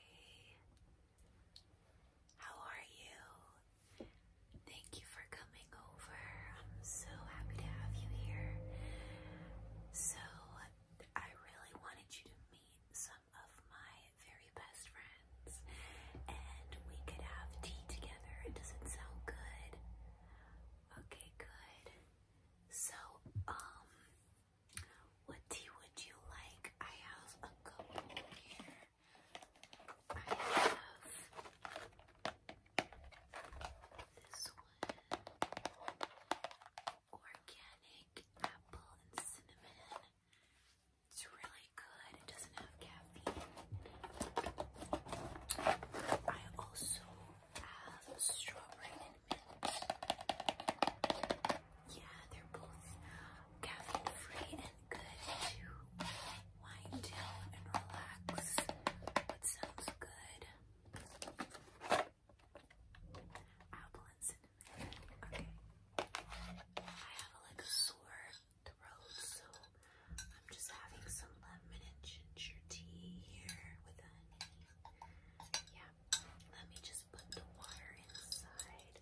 Hey, how are you? Thank you for coming over. I'm so happy to have you here. So, I really wanted you to meet some of my very best friends and we could have tea together. Does it sound good? Okay, good. So, um, what tea would you like? I have a couple here. I have this one. Organic apple and cinnamon. It's really good. It doesn't have caffeine. I also have strawberry yeah, they're both caffeine free and good to wind down and relax. What sounds good? Apple and cinnamon. Okay. I have like a sore throat, so I'm just having some lemon and ginger tea here with honey. Yeah, let me just put the water inside.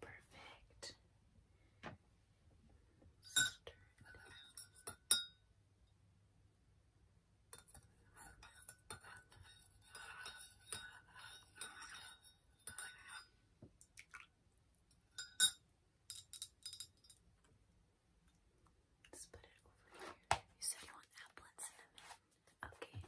Perfect. Stir Let's put it over here. You said you want apple and cinnamon. Okay.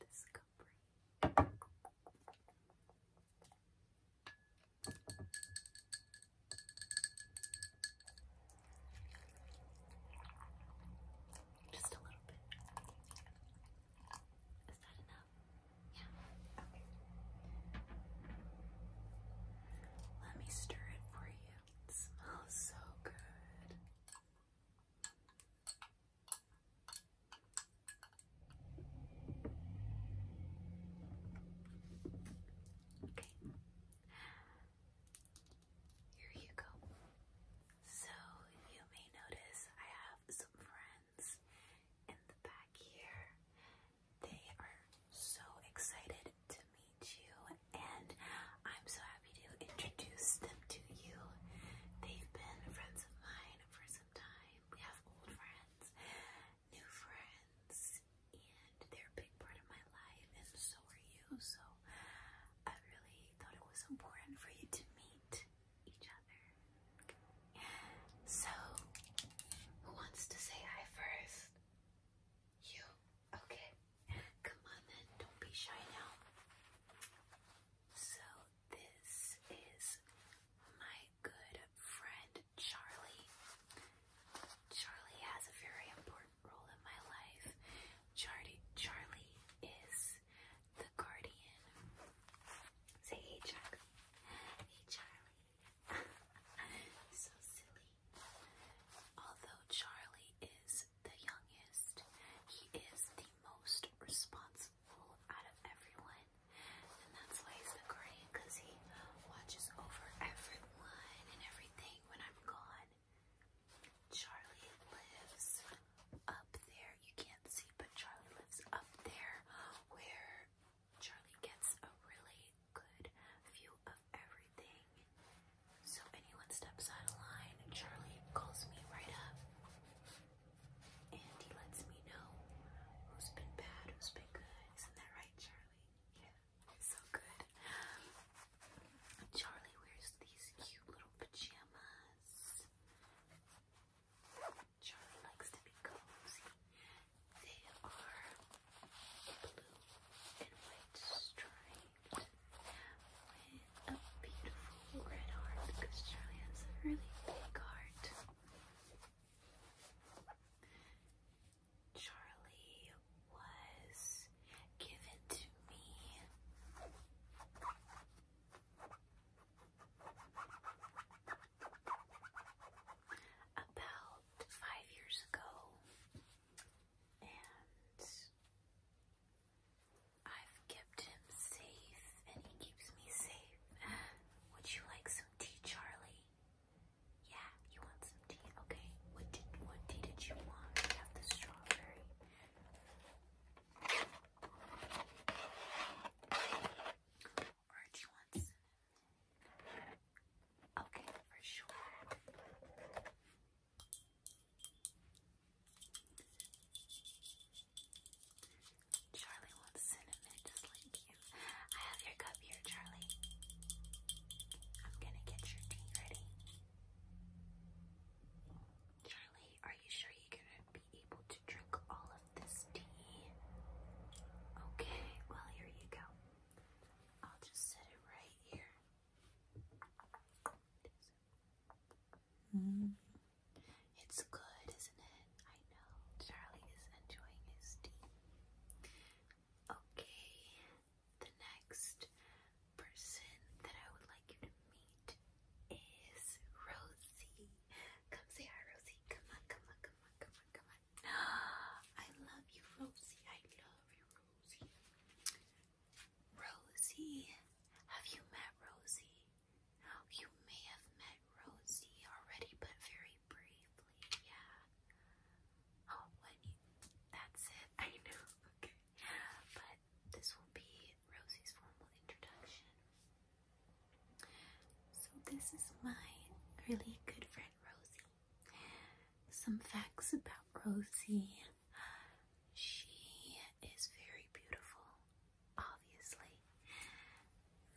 Discovery. Just a little bit. Is that enough? Yeah. Okay. Let me stir it for you. It smells so good. Okay. Here you go. So, you may notice I have some friends in the back here, they are so excited to meet you, and I'm so happy to introduce them to you. They've been friends of mine for some time. We have old friends, new friends, and they're a big part of my life, and so are you. So I really thought it was important for you to meet each other. So, who wants to say hi first? You? Okay. Come on then, don't be shy now. So, this is my good friend Charlie. Charlie has a very important role in my life. Charlie, Charlie is the guardian. Say hey, Chuck. Hey, Charlie. so silly. Although Charlie is the youngest, he is the most responsible out of everyone. And that's why he's the great, because he watches over everyone and everything when I'm gone. Charlie lives up there. You can't see, but Charlie lives up there where Charlie gets a really good view of everything. So anyone steps out of line, Charlie calls me right up. And he lets me know who's been bad, who's been good. Isn't that right, Charlie? Yeah, it's so good. Charlie wears these cute little pajamas. Charlie likes to be cozy. They are blue and white striped with a beautiful red heart because Charlie has a really big heart. Charlie was given to me about five years ago, and I've kept him safe, and he keeps me safe. Would you like some tea, Charlie? Yeah, you want some tea? Okay. What what tea did you want? I have the strawberry. Or do Okay, for sure. Charlie wants cinnamon just like you. I have your cup here, Charlie. I'm gonna get your tea ready. Charlie, are you sure you're gonna be able to drink all of this tea? Okay, well, here you go. I'll just set it right here. Mm. It's good, isn't it? I know. Charlie is enjoying his tea. Okay, the next person that I would like you to meet is Rosie. Come say hi, Rosie. Come on, come on, come on, come on, come on. I love you, Rosie. I love you, Rosie. Rosie, have you met Rosie? You may have met Rosie already, but very briefly, yeah. Oh, what? That's it. I know. Okay. But this will be Rosie's formal introduction. So, this is my really good friend Rosie. Some facts about Rosie. She is very beautiful, obviously.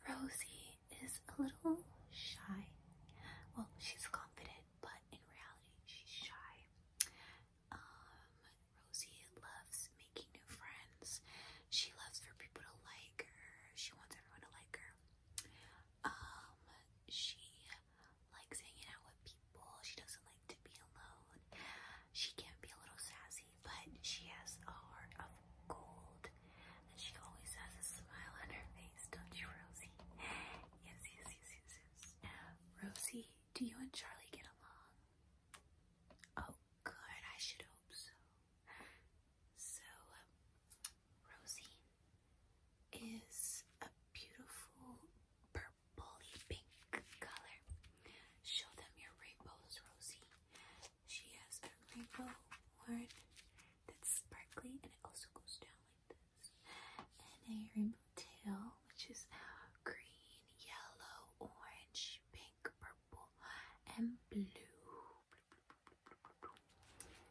Rosie is a little shy. Well, she's confident, but in reality, she's shy. Um, Rosie loves making new friends. She loves for people to like her. She wants everyone to like her. Um, she likes hanging out with people. She doesn't like to be alone. She can be a little sassy, but she has a heart of gold. And she always has a smile on her face, don't you, Rosie? Yes, yes, yes, yes, yes. Rosie, do you and Charlie get along? Oh, good. I should hope so. So, um, Rosie, is a beautiful purpley pink color. Show them your rainbows, Rosie. She has a rainbow horn that's sparkly and it also goes down like this. And a rainbow tail, which is green, yellow, orange, pink, purple, and blue,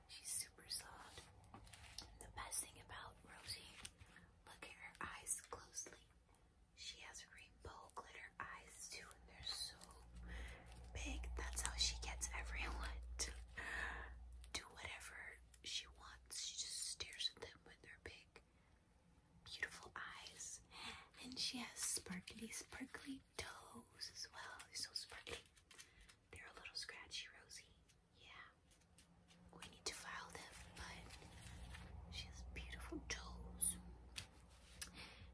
She's super soft. The best thing about Rosie, look at her eyes closely. She has rainbow glitter eyes too, and they're so big. That's how she gets everyone to do whatever she wants. She just stares at them with her big, beautiful eyes. And she has sparkly, sparkly toes as well. They're so sparkly. They're a little scratchy, Rosie. Yeah. We need to file them, but she has beautiful toes.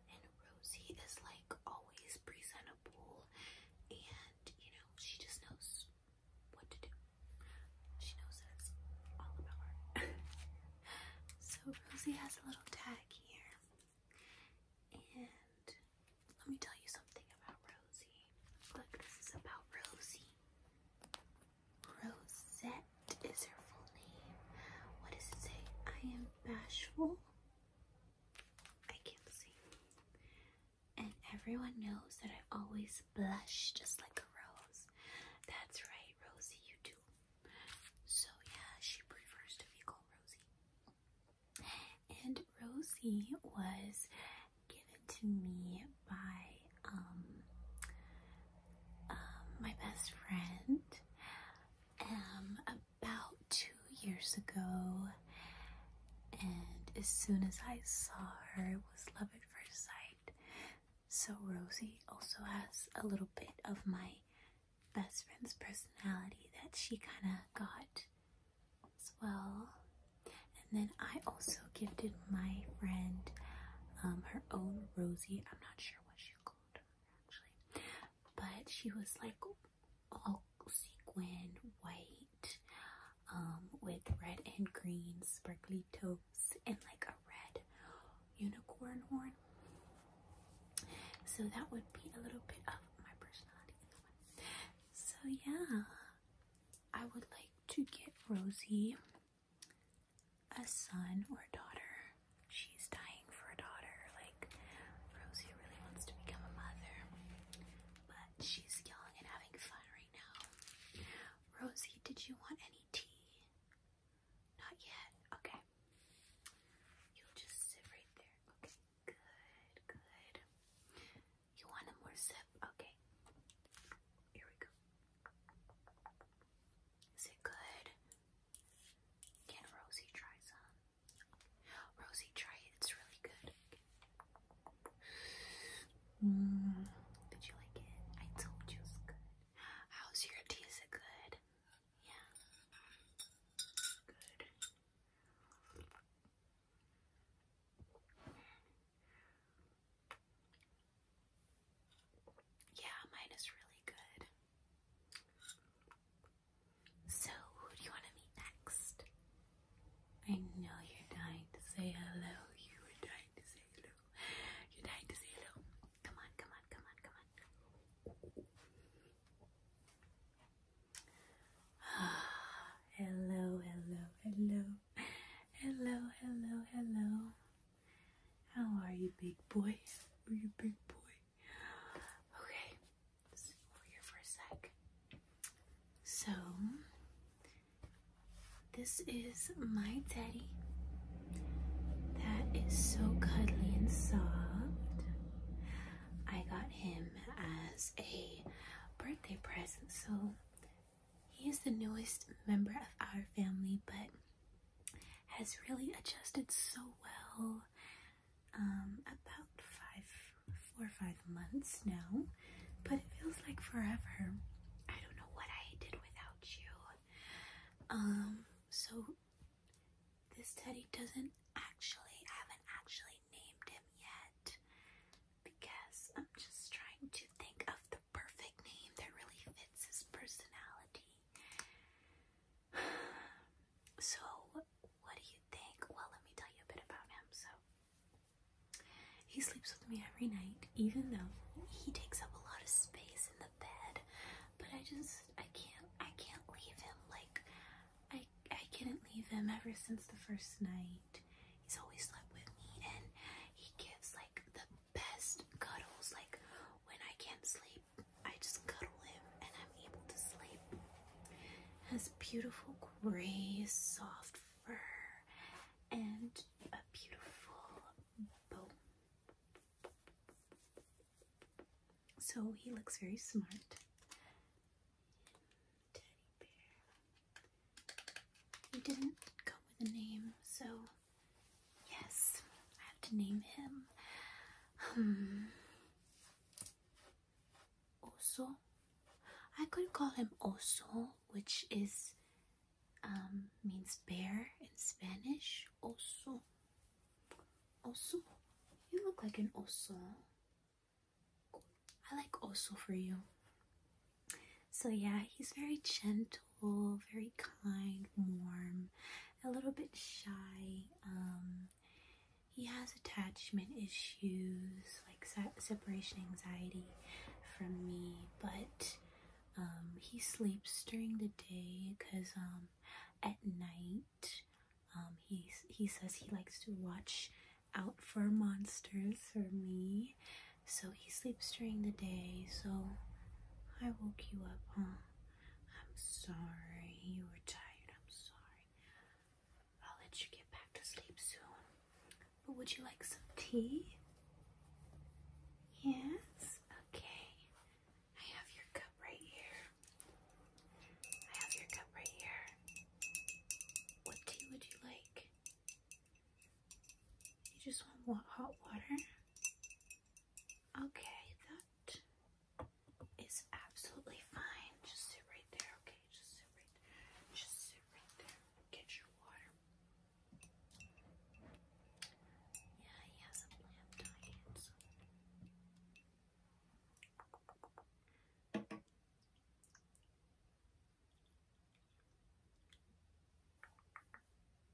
And Rosie is like always presentable and you know, she just knows what to do. She knows that it's all about her. so Rosie has a little tag here. And let me tell you something about Rosie. Look, this is about Rosie. Rosette is her full name. What does it say? I am bashful. I can't see. And everyone knows that I always blush just like a rose. That's right, Rosie, you do. So yeah, she prefers to be called Rosie. And Rosie was given to me by um, uh, my best friend um, about two years ago. And as soon as I saw her, it was love at first sight. So Rosie also has a little bit of my best friend's personality that she kind of got as well. And then I also gifted my friend um, her own Rosie. I'm not sure what she called her actually, but she was like all sequin white um, with red and green sparkly toes and like a red unicorn horn. So that would be a little bit of my personality so, yeah, I would like to get Rosie a son or a daughter. She's dying for a daughter. Like, Rosie really wants to become a mother, but she's young and having fun right now. Rosie, did you want any tea? Not yet. Okay. You'll just sit right there. Okay. Good, good. You want a more sip? Okay. Here we go. Is it good? Can Rosie try some? Rosie, try it. It's really good. Mm, did you like it? I told you it's good. How's your tea? it good? Yeah. Good. Yeah, mine is really good. So, who do you want to meet next? I know you're dying to say hello. You were dying to say hello. You're dying to say hello. Come on, come on, come on, come on. hello, hello, hello, hello, hello, hello. How are you, big boy? Are you big boy? Okay, over here for a sec. So, this is my teddy that is so cuddly and soft. I got him as a birthday present. So he is the newest member of our family, but has really adjusted so well. Um, about five, four or five months now, but it feels like forever. I don't know what I did without you. Um, so this teddy doesn't actually, I haven't actually named him yet because I'm just trying to think of the perfect name that really fits his personality. So, what do you think? Well, let me tell you a bit about him. So, he sleeps with me every night, even though he takes up a lot of space in the bed. But I just, I can't, I can't leave him. Like, I, I couldn't leave him ever since the first night. He's always slept with me and he gives like the best cuddles. Like when I can't sleep, I just cuddle him and I'm able to sleep. Has beautiful gray, soft fur and a beautiful bone. So he looks very smart teddy bear. He didn't come with a name, so yes, I have to name him. Um, I could call him Oso, which is um, means bear in Spanish. Oso. Oso. You look like an oso. I like also for you. So yeah, he's very gentle, very kind, warm, a little bit shy. Um, he has attachment issues, like separation anxiety from me, but um, he sleeps during the day because um, at night um, he, he says he likes to watch out for monsters for me. So he sleeps during the day, so I woke you up, huh? I'm sorry you were tired. I'm sorry. I'll let you get back to sleep soon. But would you like some tea? Yes? Okay. I have your cup right here. I have your cup right here. What tea would you like? You just want hot water? Okay, that is absolutely fine. Just sit right there, okay? Just sit right Just sit right there. Get your water. Yeah, he has a lamp on so.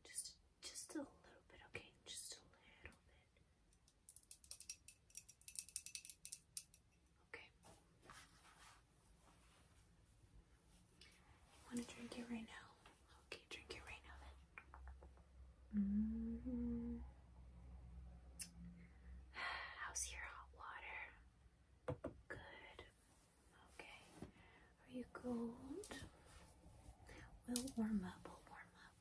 Just just a little bit, okay? Just a little bit. Okay. You want to drink it right now? Okay, drink it right now mm-hmm. How's your hot water? Good. Okay. Are you cold? We'll warm up. We'll warm up.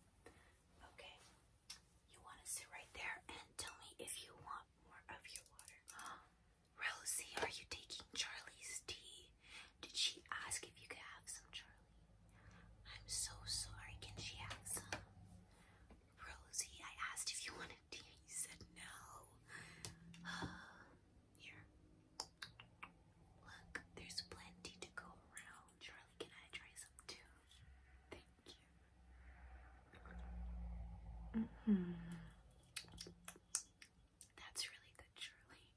Okay. You want to sit right there and tell me if you want more of your water. Rosie, are you taking Charlie's tea? Did she ask if you could have some, Charlie? I'm so sorry. Can she have some? Rosie, I asked if you wanted tea and you said no. Here. Look, there's plenty to go around. Charlie, can I try some too? Thank you. Mm-hmm. That's really good, Charlie.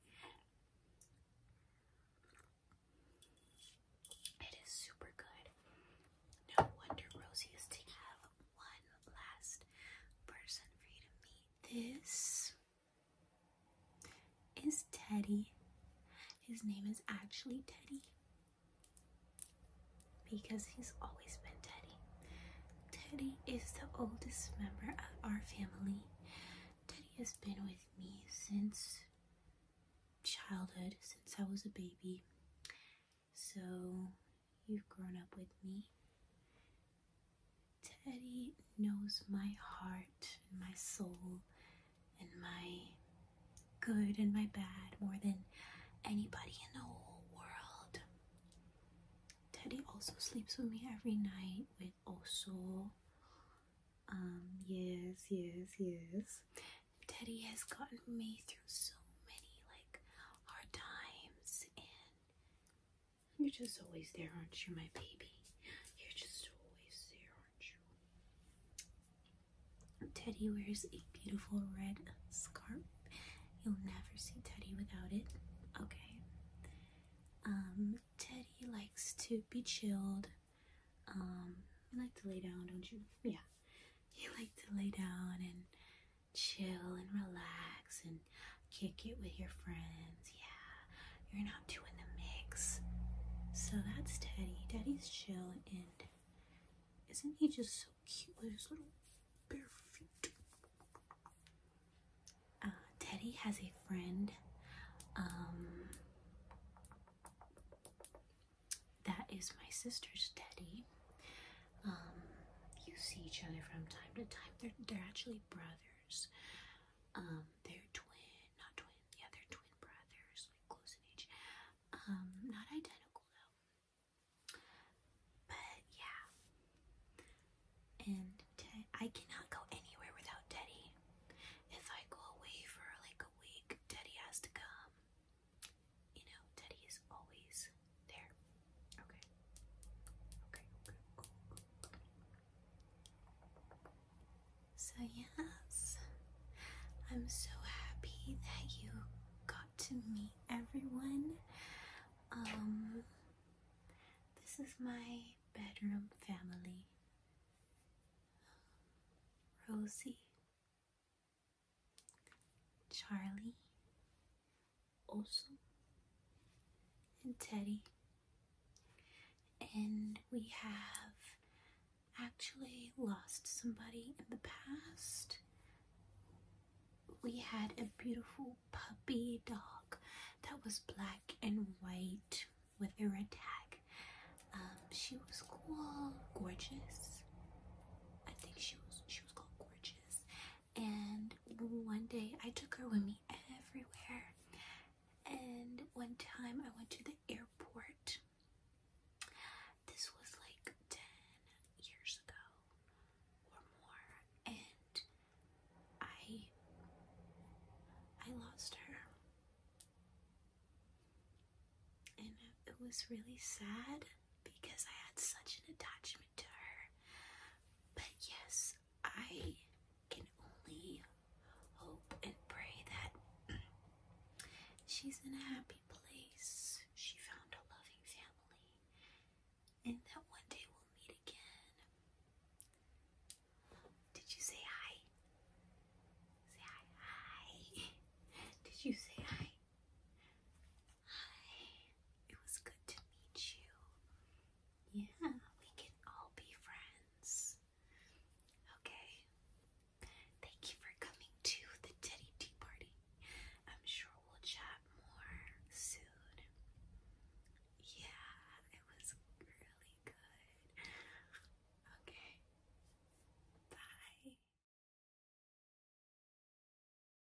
It is super good. No wonder Rosie is to have one last person for you to meet. This is Teddy. His name is actually Teddy because he's always been Teddy. Teddy is the oldest member of our family. Teddy has been with me since childhood, since I was a baby. So you've grown up with me. Teddy knows my heart and my soul and my good and my bad more than anybody in the whole world. Teddy also sleeps with me every night with Oso. Um, yes, yes, yes. Teddy has gotten me through so many hard times and you're just always there, aren't you, my baby? You're just always there, aren't you? Teddy wears a beautiful red scarf. You'll never see Teddy without it. Okay. Um, Teddy likes to be chilled. Um, you like to lay down, don't you? Yeah. You like to lay down and chill and relax and kick it with your friends. Yeah, you're not doing the mix. So that's Teddy. Teddy's chill and isn't he just so cute with his little bare feet? Uh, Teddy has a friend um, that is my sister's Teddy. Um, you see each other from time to time. They're they're actually brothers. Um, they're twin, not twin. Yeah, they're twin brothers, like close in age. Um, not identical though. But yeah. And I cannot go anywhere without Teddy. If I go away for like a week, Teddy has to come you know, Teddy is always there. Okay. Okay, okay. So, yes, I'm so happy that you got to meet everyone. Um, this is my bedroom family Rosie, Charlie, Oso, and Teddy. And we have actually lost somebody in the past. We had a beautiful puppy dog that was black and white with a red tag. Um, she was cool, Gorgeous. I think she was she was called Gorgeous, and one day I took her with me everywhere. And one time I went to the airport. This was like 10 years ago or more. And I I lost her. And it was really sad because I had such an attachment to her. But yes, I can only hope and pray that she's in a happy place. She found a loving family, and that one day we'll meet again. Did you say hi? Say hi. Hi. Did you say hi? Hi, it was good to meet you. Yeah, we can all be friends. Okay. Thank you for coming to the Teddy Tea Party. I'm sure we'll chat more soon. Yeah, it was really good. Okay. Bye.